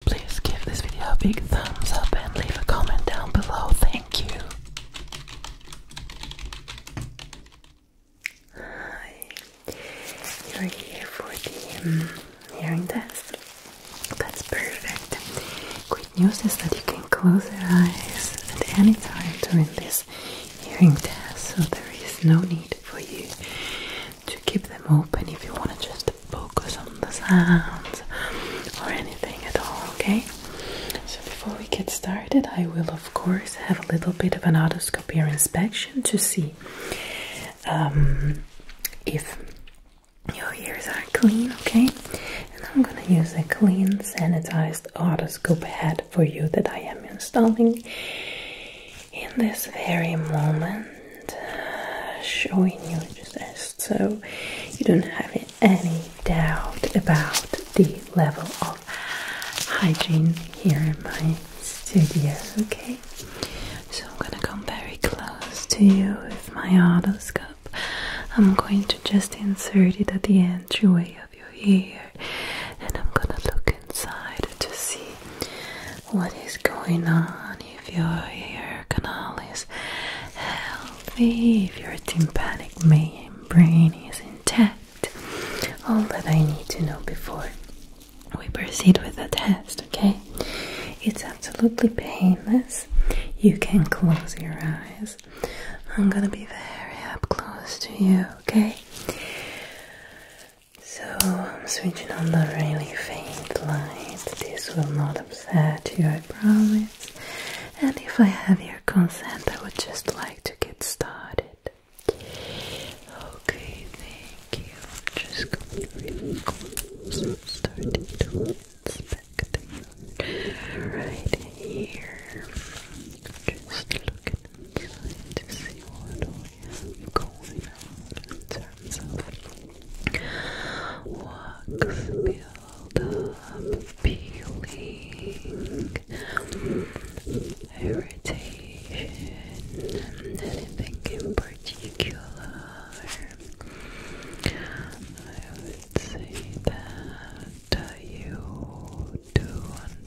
Please give this video a big thumbs up and leave a comment down below. Thank you. Hi, you're here for the um, hearing test. That's perfect. Good news is that you can close your eyes at any time during this hearing test, so there is no need for you to keep them open if you want to just focus on the sounds or anything at all, okay? So, before we get started, I will, of course, have a little bit of an otoscope otoscopic inspection to see um, if your ears are clean, okay? And I'm gonna use a clean, sanitized otoscope head for you that I am installing in this very moment. Uh, showing you just so you don't have any doubt about the level of hygiene here in my studio. Okay, so I'm gonna come very close to you with my otoscope. I'm going to just insert it at the entryway of your ear, and I'm gonna look inside to see what is going on, if your ear canal is healthy, if your tympanic membrane is intact. All that I need to know before we proceed with the test, okay? It's absolutely painless. You can close your eyes. I'm gonna be very up close to you, okay? So I'm switching on the really faint light. This will not upset you, I promise. And if I have your consent, I would just like to get started. Okay, thank you. Just come really close. i starting to inspect you right here. Just look to see what we have going on in terms of Wax build up, peeling, irritation, anything in particular. I would say that uh, you do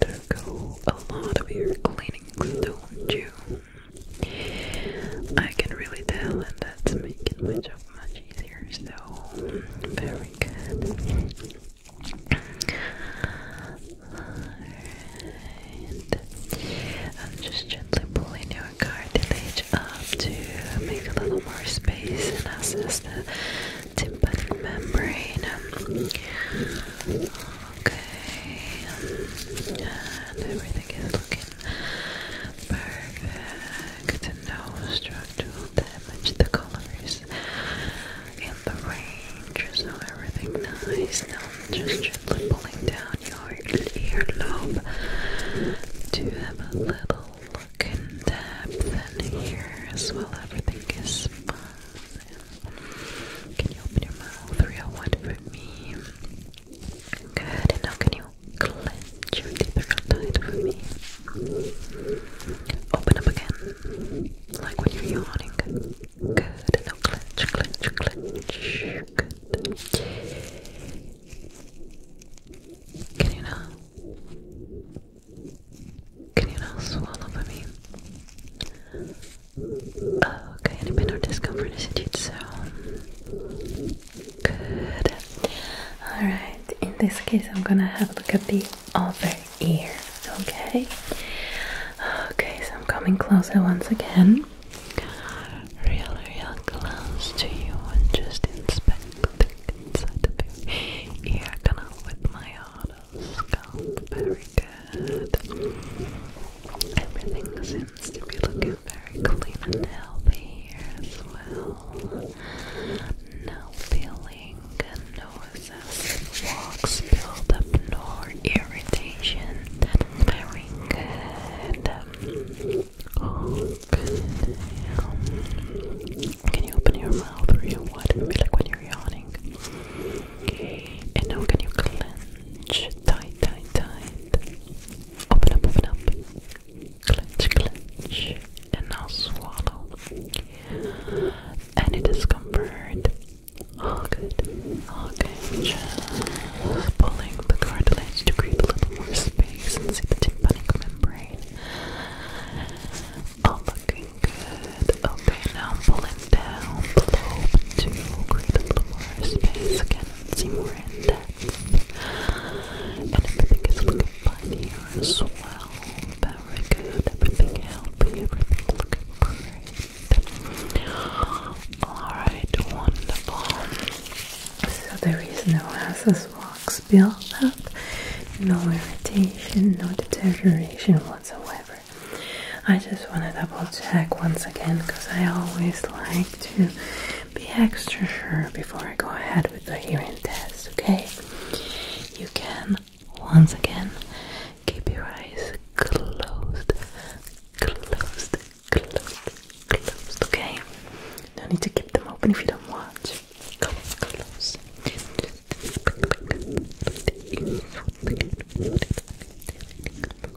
undergo a lot of your cleanings, don't you? I can really tell, and that's making my job much easier. So, very good. Alright. I'm just gently pulling your cartilage up to make a little more space and access the tympanic membrane. Okay. And everything is looking Perfect. No structural damage. The color in the range, so everything nice. Now I'm just gently pulling down your earlobe to have a little look in depth in here as well. Everything is fine. Can you open your mouth real wide for me? Good, and now can you clench your teeth real tight for me? Open up again, like when you're yawning. Good, and now clench, clench, clench. Good. Can you now? Can you now swallow for me? Okay, any pain discomfort is it so Good. Alright, in this case, I'm gonna have a look at the other ear, okay? Okay, so I'm coming closer once again. Real, real close to you and just inspect the inside of your ear canal with my auto Very good. Everything is seems to be looking very clean and healthy here as well. No feeling, no excessive walks, build nor irritation. very oh, good. Can you open your mouth or what? Maybe like when you're yawning. And now can you clench? Tight, tight, tight. Open up, open up. Clench, clench. And now swallow. Any discomfort? All good. All good. pulling the cartilage to create a little more space and see the tympanic membrane. All looking good. Okay, now pull down below to create a little more space again and see more in depth. And everything is looking fine here well. Very good. Everything healthy. Everything looking great. Alright, wonderful. So there is no acid wax build up, no irritation, no deterioration whatsoever. I just want to double check once again because I always like to be extra sure before I go ahead with the hearing test, okay? You can once again keep your eyes closed, closed, closed, closed, okay? No need to keep them open if you don't want. Close, close. Close,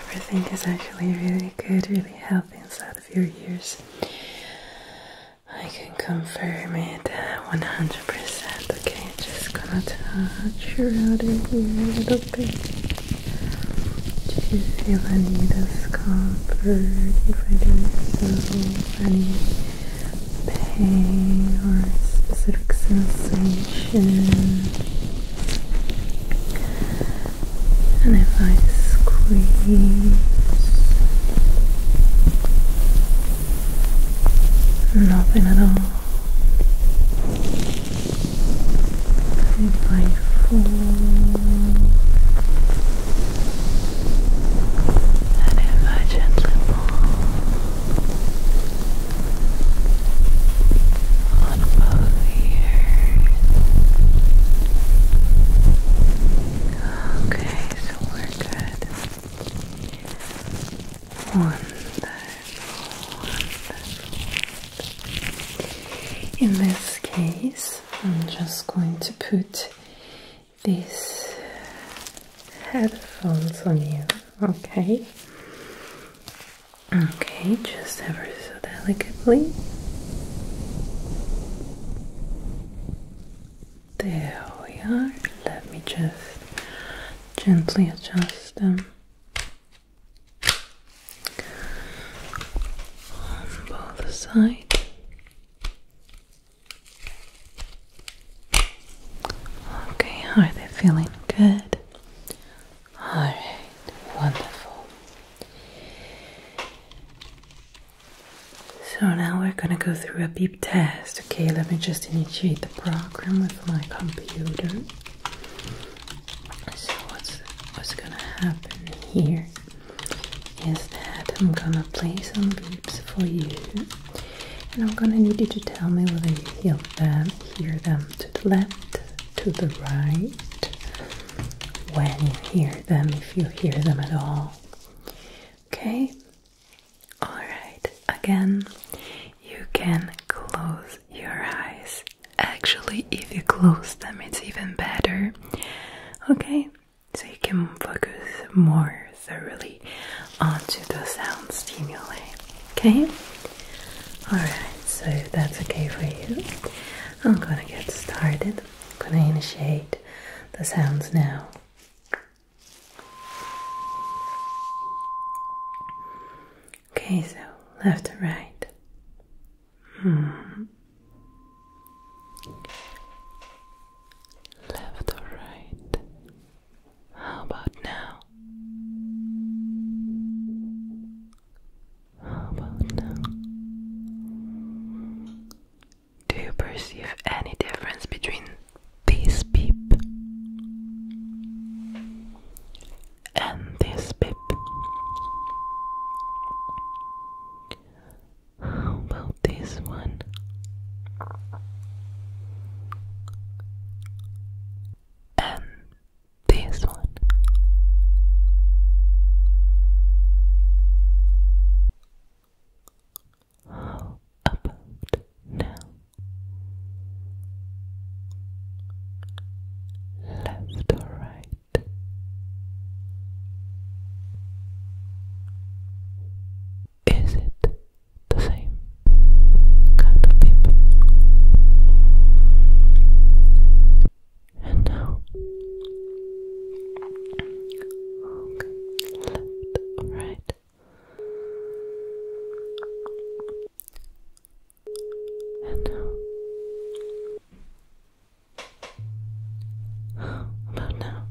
everything is actually really good, really healthy inside of your ears. I can confirm it uh, 100 hundred Okay, just gonna touch your outer ear a little bit. Do you feel any discomfort? If I do so, any pain or specific sensation? And if I squeeze. Nothing at all. If I fall, and if I gently fall on both ears. Okay, so we're good. Wonderful, In this case, I'm just going to put these headphones on you, okay? Okay, just ever so delicately. There we are. Let me just gently adjust them on both sides. Okay, are they feeling good? Alright, wonderful. So now we're gonna go through a beep test. Okay, let me just initiate update program with my computer. So what's what's gonna happen here is that I'm gonna play some beeps for you, and I'm gonna need you to tell me whether you hear them, hear them to the left, to the right, when you hear them, if you hear them at all. Okay, Alright, again, you can close your eyes. Actually, if you close them, it's even better. Okay, so you can focus more thoroughly onto the sound stimuli. Okay? Alright, so that's okay for you. I'm gonna get started. gonna initiate the sounds now. Okay, so left to right. Hmm. Left or right? How about now? How about now? Do you perceive any difference between this beep and this beep. How about this one? And this one. How about now? Left or right? Is it the same kind of people? And now, left or right? And now, about now?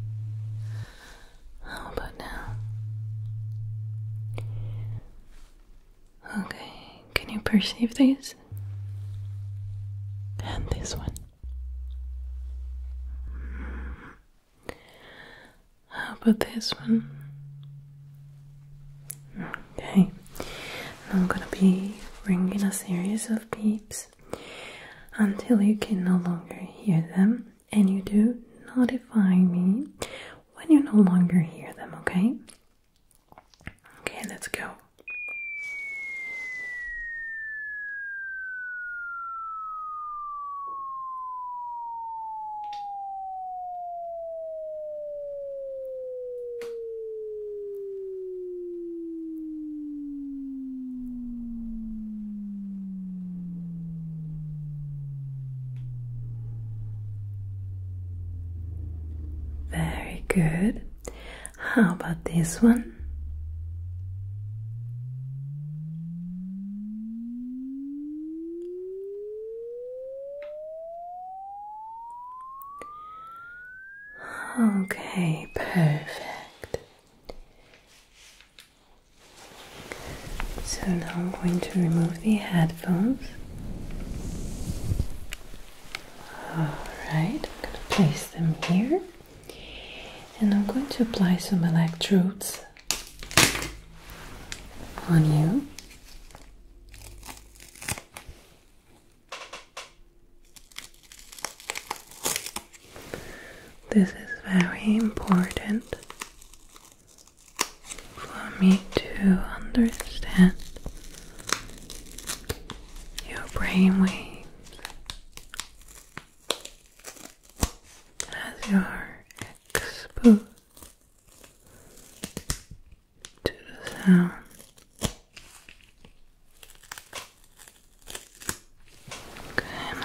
How about now? Okay, can you perceive these? And this one. How about this one? Okay, now I'm gonna be ringing a series of beeps until you can no longer hear them, and you do notify me when you no longer hear them, okay? Okay, let's go. Very good. How about this one? Okay, perfect. So now I'm going to remove the headphones. Alright, I'm going to place them here and I'm going to apply some electrodes on you. This is very important for me to understand your brain waves as you are exposed to the sound.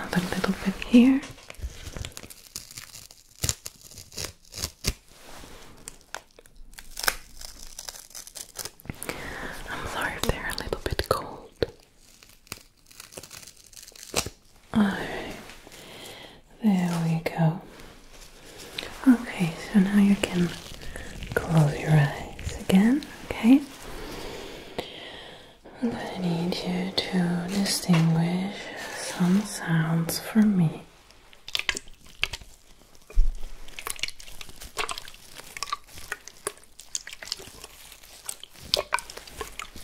another little bit here. I'm sorry if they're a little bit cold. Alright, there we go. Okay, so now you can close your eyes again, okay? I'm gonna need you to distinguish some sounds for me.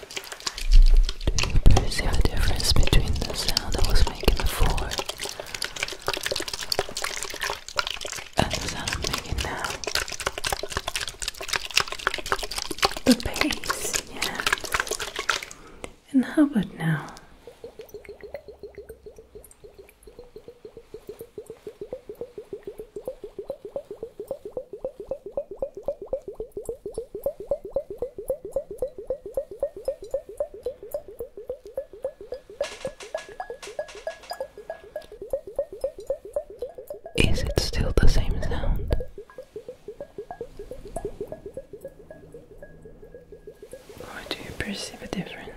Do you perceive a difference between the sound I was making before and the sound I'm making now? The bass, yeah. And how about now? Is it still the same sound? Or do you perceive a difference?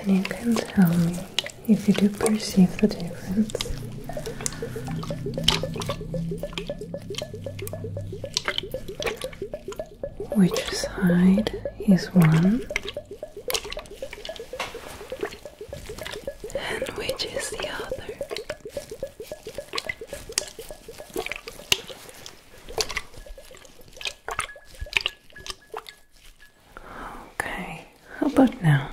And you can tell me if you do perceive the difference which side is one and which is the other. Okay, how about now?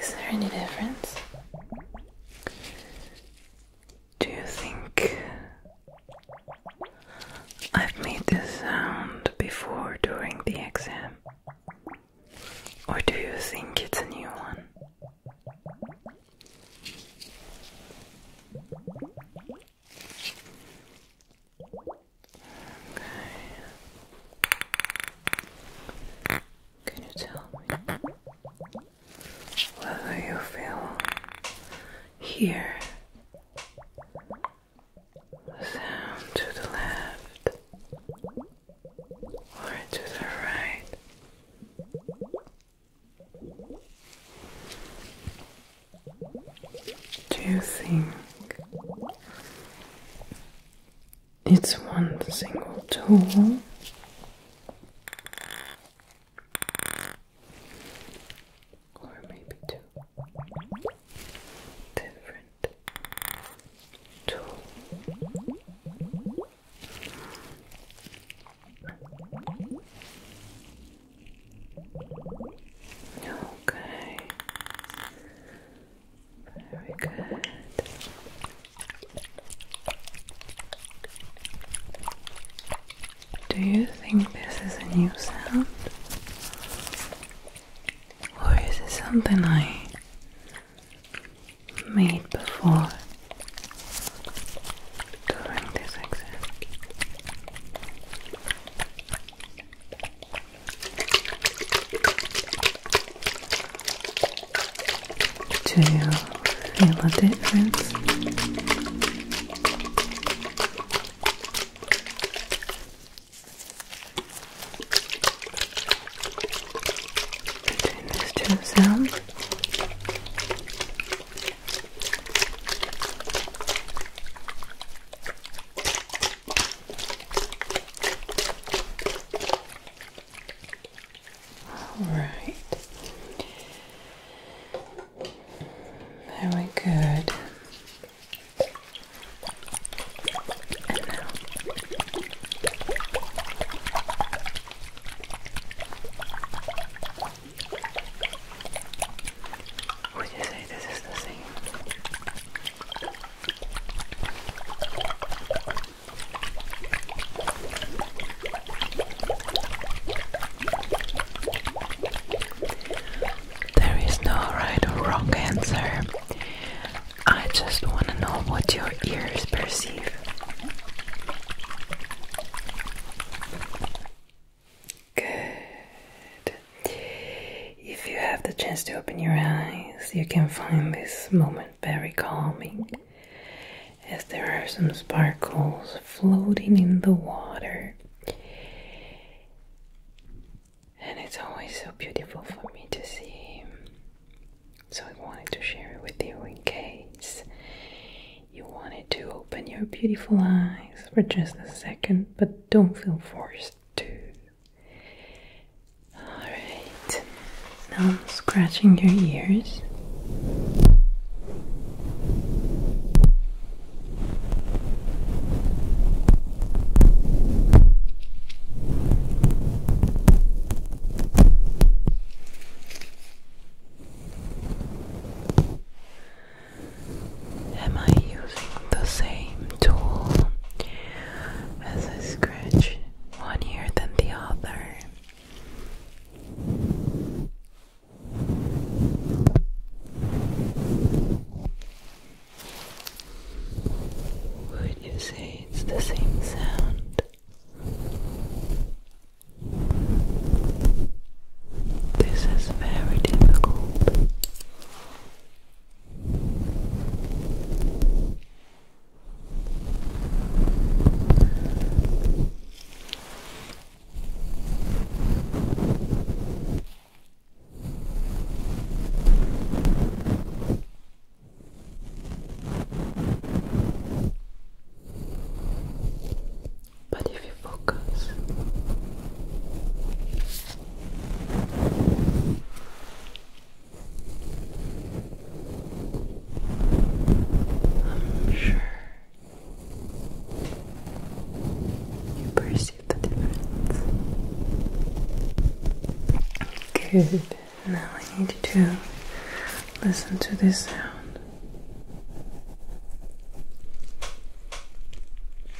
Is there any difference? Do you think I've made this sound before during the exam. Or do you think it's a new one? Okay. Can you tell me whether you feel here, sound to the left or to the right. Do you think it's one single tool or maybe two different tools. Okay. Very good. Do you think this is a new sound? Or is it something I made before during this exam? Do you feel a difference? Between these two sounds. All right. Very good. Would you say this is the same? There is no right or wrong answer. I just want to know what your ears perceive. Good. If you have the chance to open your eyes, you can find this moment very calming as there are some sparkles floating in the water. And it's always so beautiful for me to see. So I wanted to share it with you in case you wanted to open your beautiful eyes for just a second, but don't feel forced to. Alright, now I'm scratching your ears. Am I using the same tool as I scratch one ear than the other? Would you say it's the same sound? This is very difficult. But if you focus, I'm sure you perceive the difference. Good. Now I need you to listen to this sound.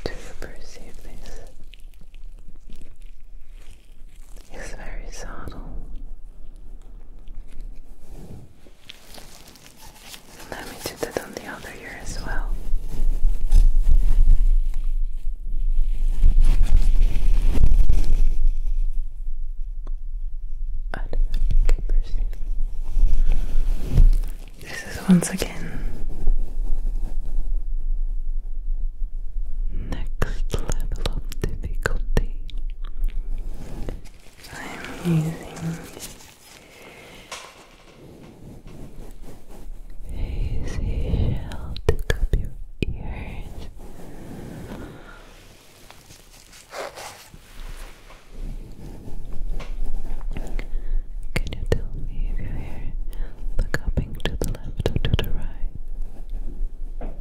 Do you perceive this? It's very subtle let me do that on the other ear as well. This is once again next level of difficulty. I'm using a seashell took your ears. Can you tell me if you hear the cupping to the left or to the right?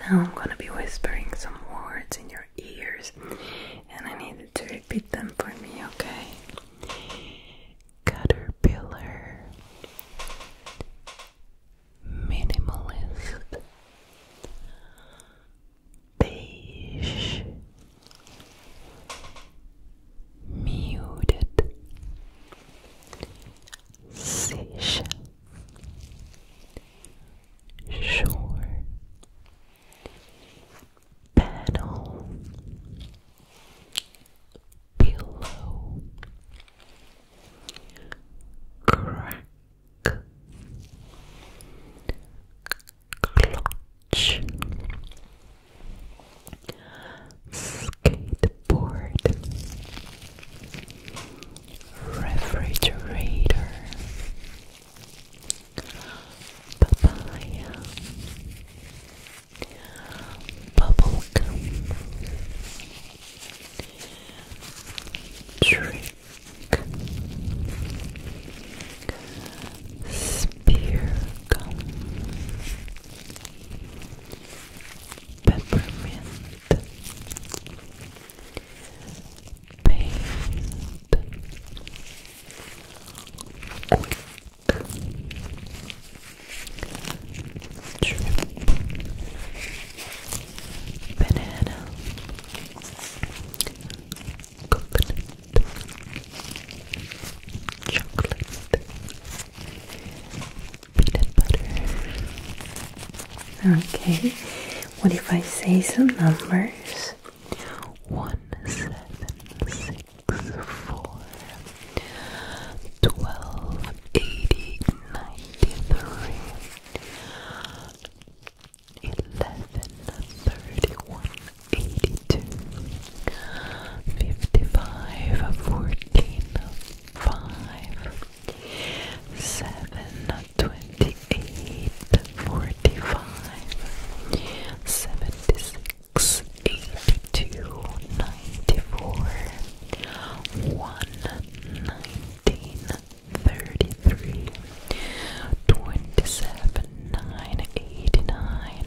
Now I'm gonna be whispering some words in your ears, and I need you to repeat them for me, okay? Caterpillar, minimalist, beige, muted, seashell shore panel pillow crack clutch skateboard, refrigerator, papaya, bubblegum, trick, spear gum peppermint paint quick trip banana coconut chocolate Okay, what if I say some numbers? One, seven, six, four, twelve, eighty, ninety-three, eleven, thirty-one, eighty-two, fifty-five, fourteen five, seven, twenty-eight, forty-five, seventy-six, eighty-two, ninety-four, one, nineteen, thirty-three, twenty-seven, nine, eighty-nine.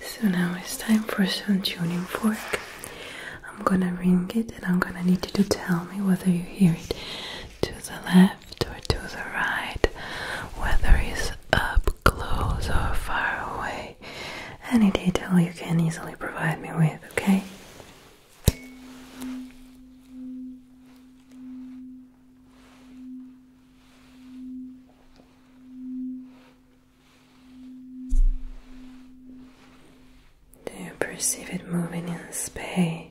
So now it's time for some tuning fork. I'm gonna ring it and I'm gonna need you to tell me whether you hear it to the left or to the right, whether it's up close or far away. Any detail you can easily provide me with, okay? Do you perceive it moving in space?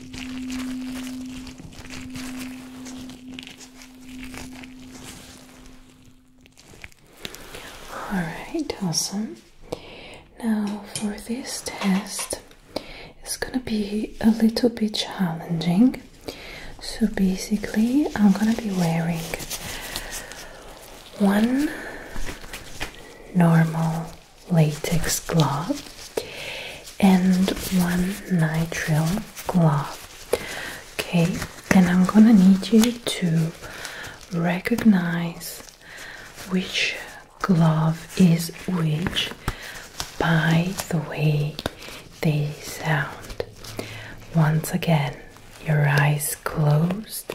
All right, awesome. Now, for this test, it's gonna be a little bit challenging. So, basically, I'm gonna be wearing one normal latex glove and one nitrile glove. Okay, and I'm gonna need you to recognize which glove is which by the way they sound. Once again, your eyes closed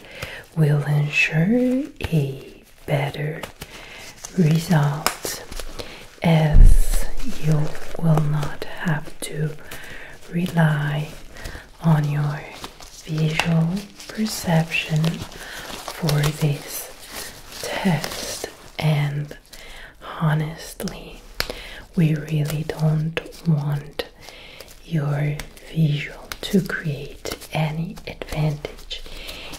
will ensure a better results as you will not have to rely on your visual perception for this test and honestly we really don't want your visual to create any advantage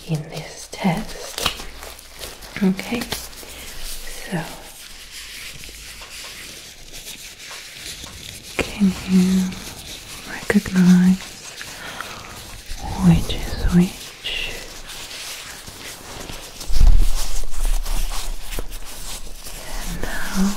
in this test. Okay, so can you recognize which is which? And now uh,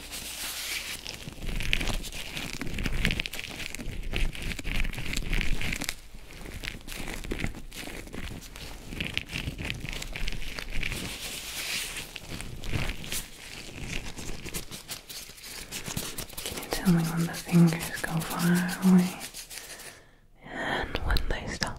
Can you tell me when the fingers go far away and when they stop?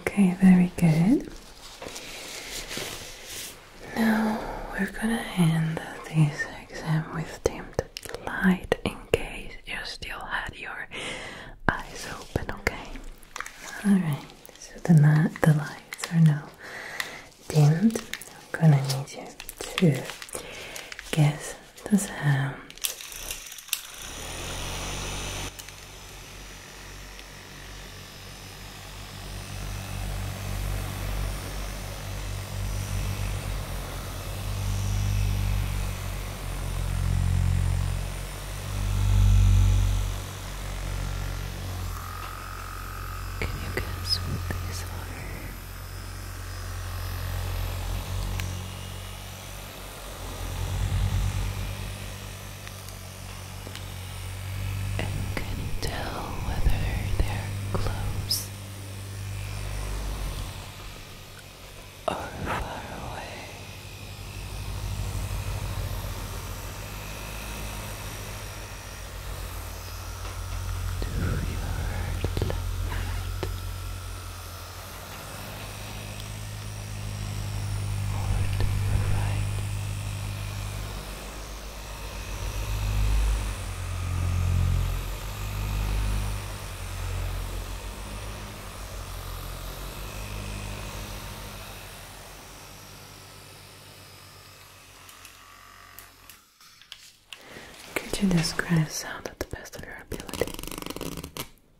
Okay, very good. Now we're gonna end this exam with dimmed light in case you still had your eyes open, okay? Alright, so the, the lights are now dimmed. I'm gonna need you to guess the sound can you guess what these are? and can you tell whether they're close or far away. Do your left over Could you describe sound at the best of your ability?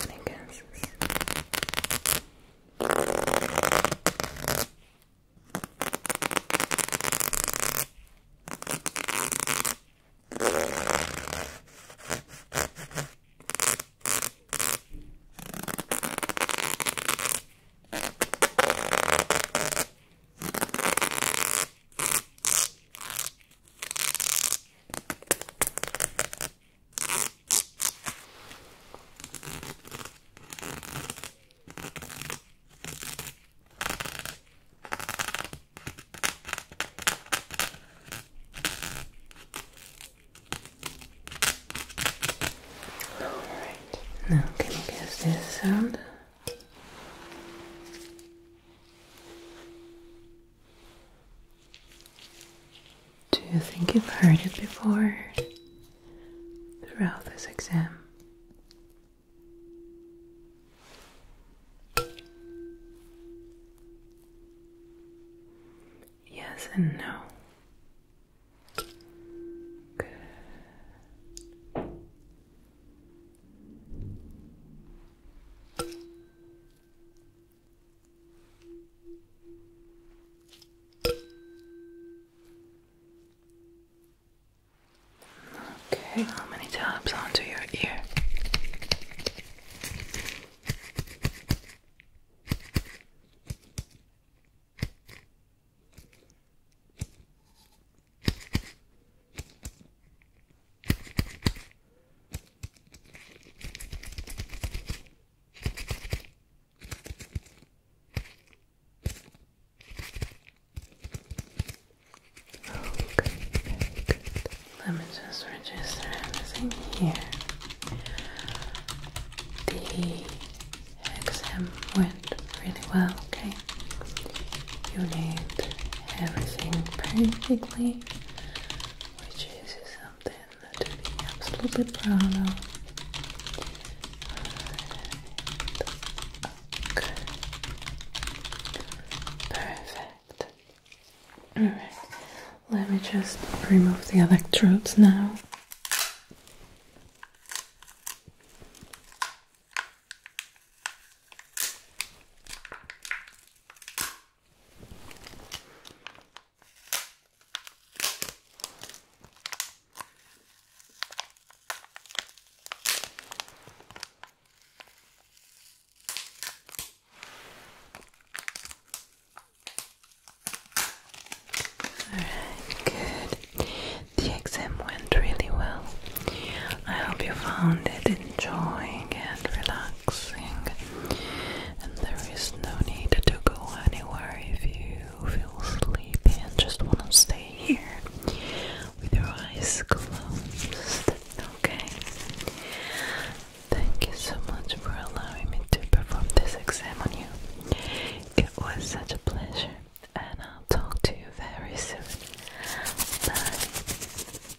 Any guesses? Alright, now can you guess this sound? Do you think you've heard it before throughout this exam? Yes and no. Good. Okay, how many taps onto your ear? Okay, Let me just register everything here. The exam went really well, okay? You need everything perfectly which is something to be absolutely proud of. Okay. Perfect. Alright, let me just remove the electrodes now. Alright, good. The exam went really well. I hope you found it enjoying and relaxing and there is no need to go anywhere if you feel sleepy and just want to stay here with your eyes closed. Okay. Thank you so much for allowing me to perform this exam on you. It was such a pleasure, and I'll talk to you very soon. Bye.